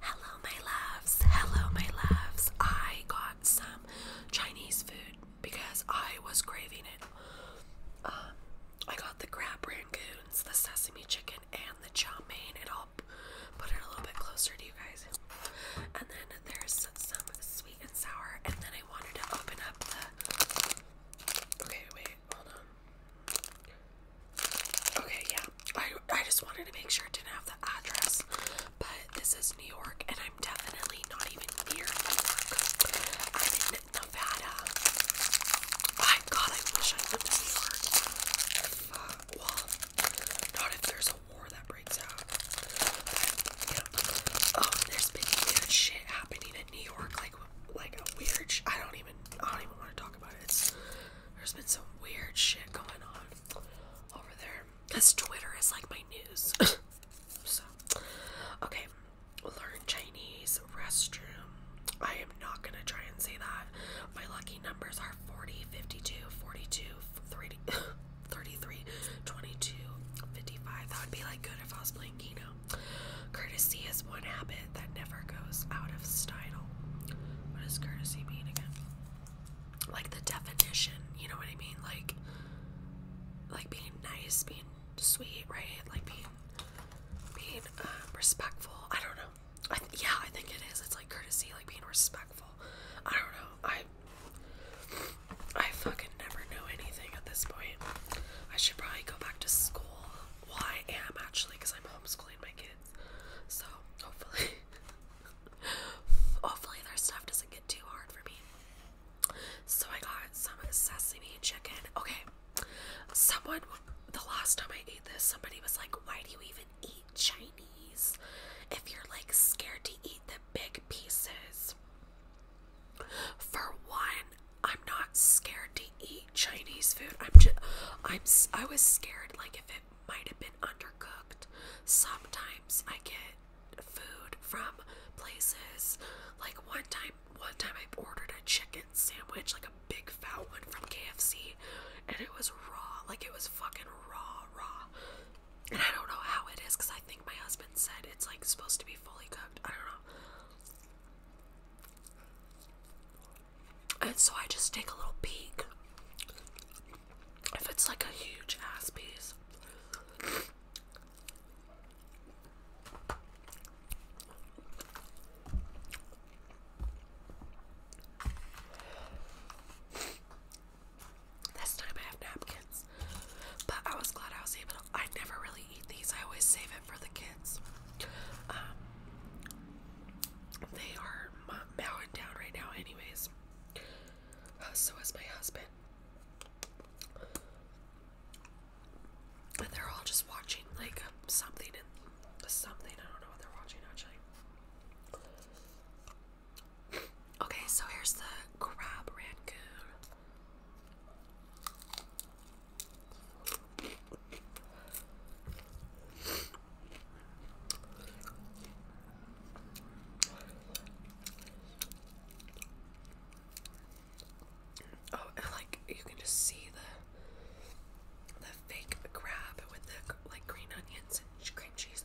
Hello, my loves. Hello, my loves. I got some Chinese food because I was craving it. Um, I got the crab rangoons, the sesame chicken, and the cha mein, it will put it a little bit closer to you guys. And then there's some sweet and sour, and then I wanted to open up the. Okay, wait, hold on. Okay, yeah. I I just wanted to make sure it didn't have the address, but this is New York, and I'm definitely not even near New York. I'm in Nevada. My God, I wish I lived in New York. well, not if there's a war that breaks out. yeah. Oh, there's been weird shit happening in New York, like like a weird. I don't even. I don't even want to talk about it. There's been some weird shit going on over there. Because Twitter is like my news. so, okay. Learn Chinese restroom. I am not going to try and say that. My lucky numbers are 40, 52, 42, 33, 22, 55. That would be like good if I was playing Keno. Courtesy is one habit that never goes out of style. What does courtesy mean again? Like the definition, you know what I mean? Like like being nice, being sweet, right? Like being being um, respectful. I don't know. I yeah, I think it is. It's like courtesy, like being respectful. I don't know. I I fucking never know anything at this point. I should probably go back to school well, I am actually because I'm homeschooling my kids. So hopefully, hopefully their stuff doesn't get too hard for me. So I got some sesame chicken. Okay, someone the last time I ate this, somebody was like, "Why do you even eat Chinese if you're like scared to eat the big pieces?" For one, I'm not scared to eat Chinese food. I'm just, I'm, I was scared like if it might have been undercooked. Sometimes I get food from places. Like one time, one time I ordered a chicken sandwich, like a big fat one from KFC, and it was raw. Like it was fucking raw, raw. And I don't know how it is because I think my husband said it's like supposed to be fully cooked. I don't know. And so I just take a little peek. If it's like a huge ass piece, this time I have napkins, but I was glad I was able I never really eat these. I always save it for the kids. Um, they are mowing down right now, anyways. Uh, so is my husband. And they're all just watching like something and something. I don't know what they're watching actually. Okay, so here's the crab rangoon. Oh, like you can just see the the fake crab with the like green onions and cream cheese.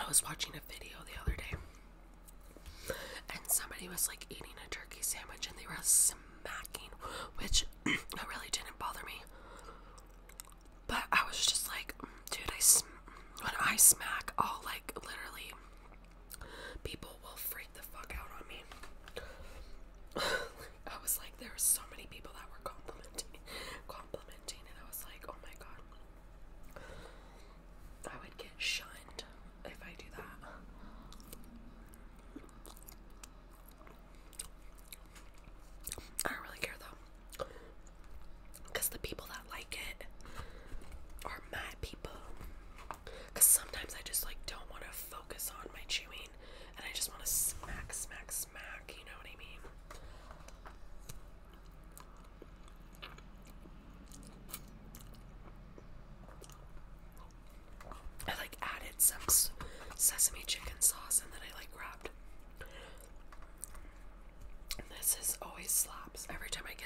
I was watching a video the other day and somebody was like eating a turkey sandwich and they were smacking, which it really didn't bother me. But I was just like, dude, I sm when I smack, all like literally people will freak the fuck out on me. I was like, there were so many people that were complimenting, me, complimenting, and I was like, oh my god, I would get shunned if I do that. I don't really care though. Because the people that like it are mad people. Because sometimes I just like don't want to focus on my chewing and I just want to smack, smack, smack. You know what I mean? I like added some sesame chicken sauce and then I like grabbed this is always slaps every time I get it.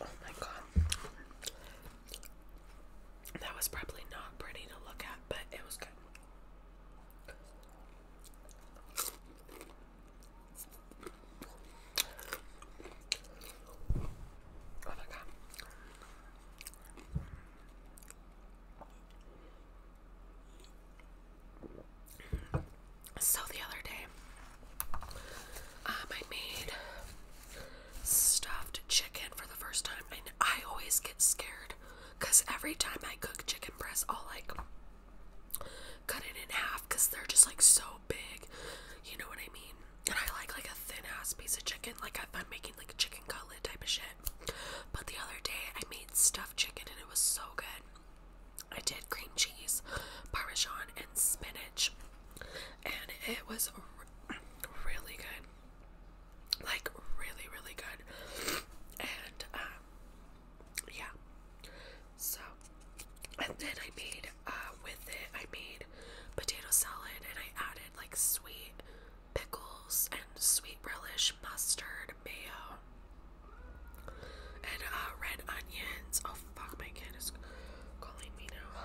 Oh my god. That was probably not pretty to look at, but it was good. Oh my god. So the other day, um, I made stuffed chicken for the first time, and I always get scared because every time I cook chicken breasts, I'll like cut it in half because they're just like so big. You know what I mean? And I like like a thin ass piece of chicken, like if I'm making like a chicken cutlet type of shit. But the other day, I made stuffed chicken, and it was so good. I did cream cheese, parmesan, and spinach, and it was really good. Like really, really good. And um, yeah. So, and then I made uh, with it. I made potato salad, and I added like sweet pickles and sweet relish, mustard, mayo. And uh, red onions. Oh fuck, my kid is calling me now.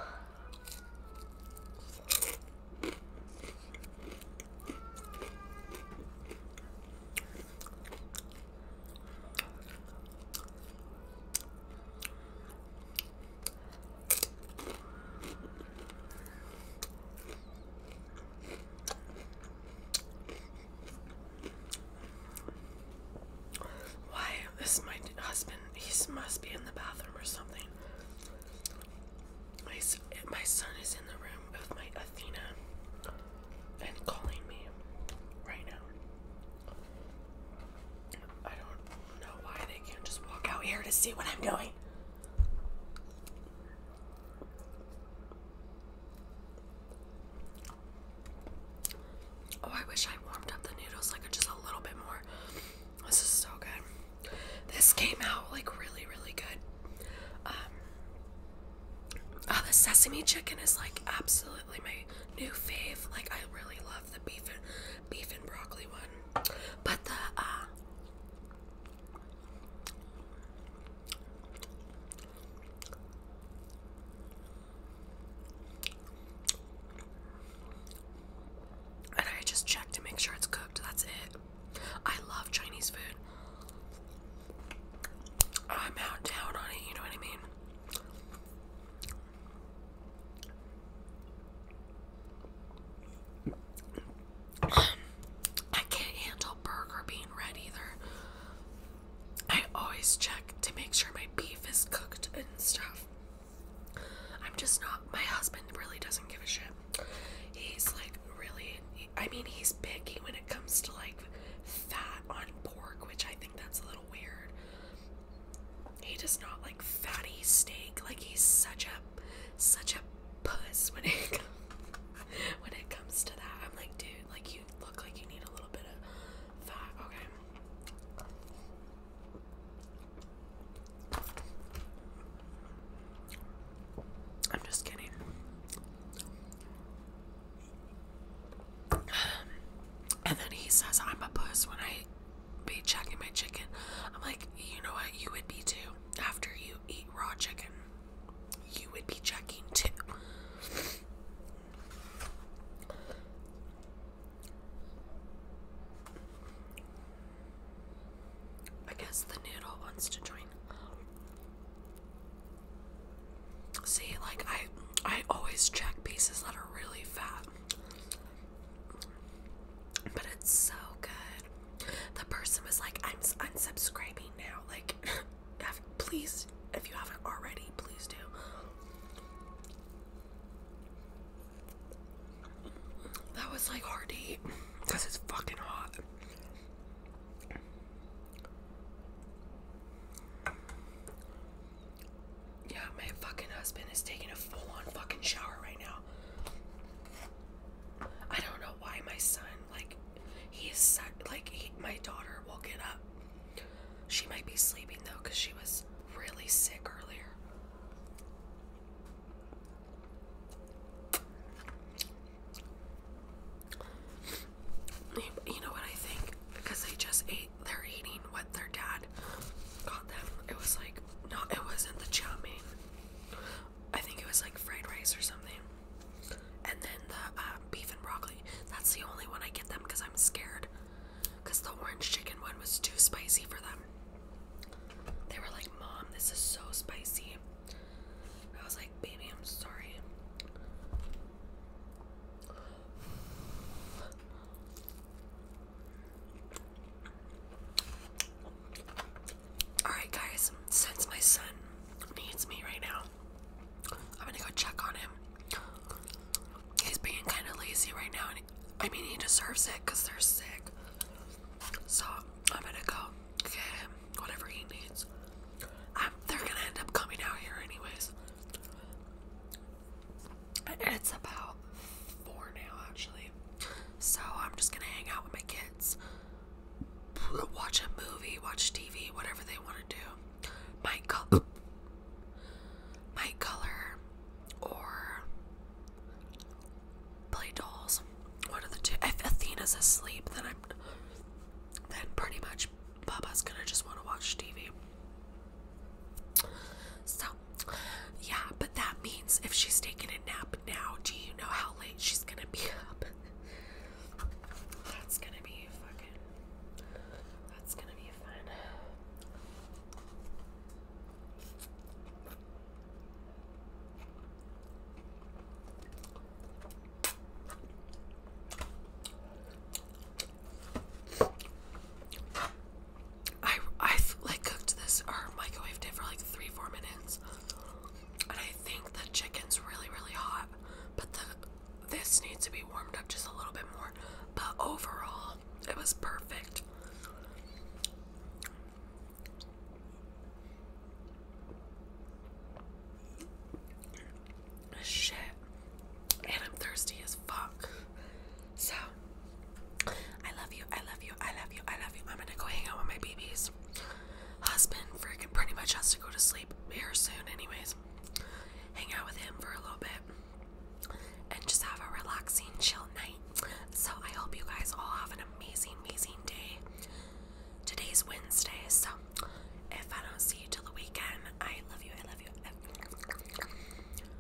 Why? This is my husband. He must be in the bathroom or something. My, my son is in the room with my Athena and calling me right now. I don't know why they can't just walk out here to see what I'm doing. Oh, I wish I warmed up the noodles like just a little bit more. This is so good. This came out like really, really good. Um, oh, the sesame chicken is like absolutely my new fave. Like I really love the beef and beef and broccoli one, but the uh, and I just check to make sure it's cooked. That's it. I love Chinese food. I'm out down on it, you know what I mean? I can't handle burger being red either. I always check to make sure my beef is cooked and stuff. I'm just not. My husband really doesn't give a shit. He's like really. I mean, he's picky when it comes to like fat on pork, which I think that's a little weird. He does not like fatty steak. Like he's such a such a puss when it when it comes to that. I'm like, dude, like you look like you need a little bit of fat. Okay. I'm just kidding. Um, and then he says, I'm a puss when I be checking my chicken. I'm like, you know what? You would be too after you eat raw chicken you would be checking too. I guess the noodle wants to join. See, like I I always check pieces that are really fat. But it's so good the person was like, I'm unsubscribing now. Like, please, if you haven't already, please do. That was like hardy, because it's fucking hot. Yeah, my fucking husband is taking a full on fucking shower right now. I don't know why my son, like, he like, my daughter will get up. She might be sleeping though, because she was really sick earlier. You know what I think? Because they just ate, they're eating what their dad got them. It was like, no, it wasn't the chow mein. I think it was like fried rice or something. And then the uh, beef and broccoli. That's the only one I get them because I'm scared. Because the orange chicken one was too spicy for them. They were like, Mom, this is so spicy. I was like, Baby, I'm sorry. Alright, guys, since my son needs me right now, I'm gonna go check on him. He's being kind of lazy right now, and I mean, he deserves it because they're sick. So, I'm gonna go get him whatever he needs. Um, they're gonna end up coming out here, anyways. And it's about four now, actually. So I'm just gonna hang out with my kids, watch a movie, watch TV, whatever they want to do. My color, my color, or play dolls. One of the two. If Athena's asleep, then I'm then pretty much Baba's gonna just want to watch TV. So yeah, but that means if she's taking a nap now, do you know how late she's gonna be up? that's gonna be fucking. That's gonna be fun. I I like cooked this or microwaved it for like three four minutes, and I think the chicken's really really hot, but the this needs to be warmed up just a little bit more. But overall, it was perfect. Shit, and I'm thirsty as fuck. So, I love you, I love you, I love you, I love you. I'm gonna go hang out with my babies. Husband freaking pretty much has to go to sleep here soon, anyways. Hang out with him for a little bit and just have a relaxing, chill night. So, I hope you guys all have an amazing, amazing day. Today's Wednesday, so if I don't see you till the weekend, I love you, I love you. I love you.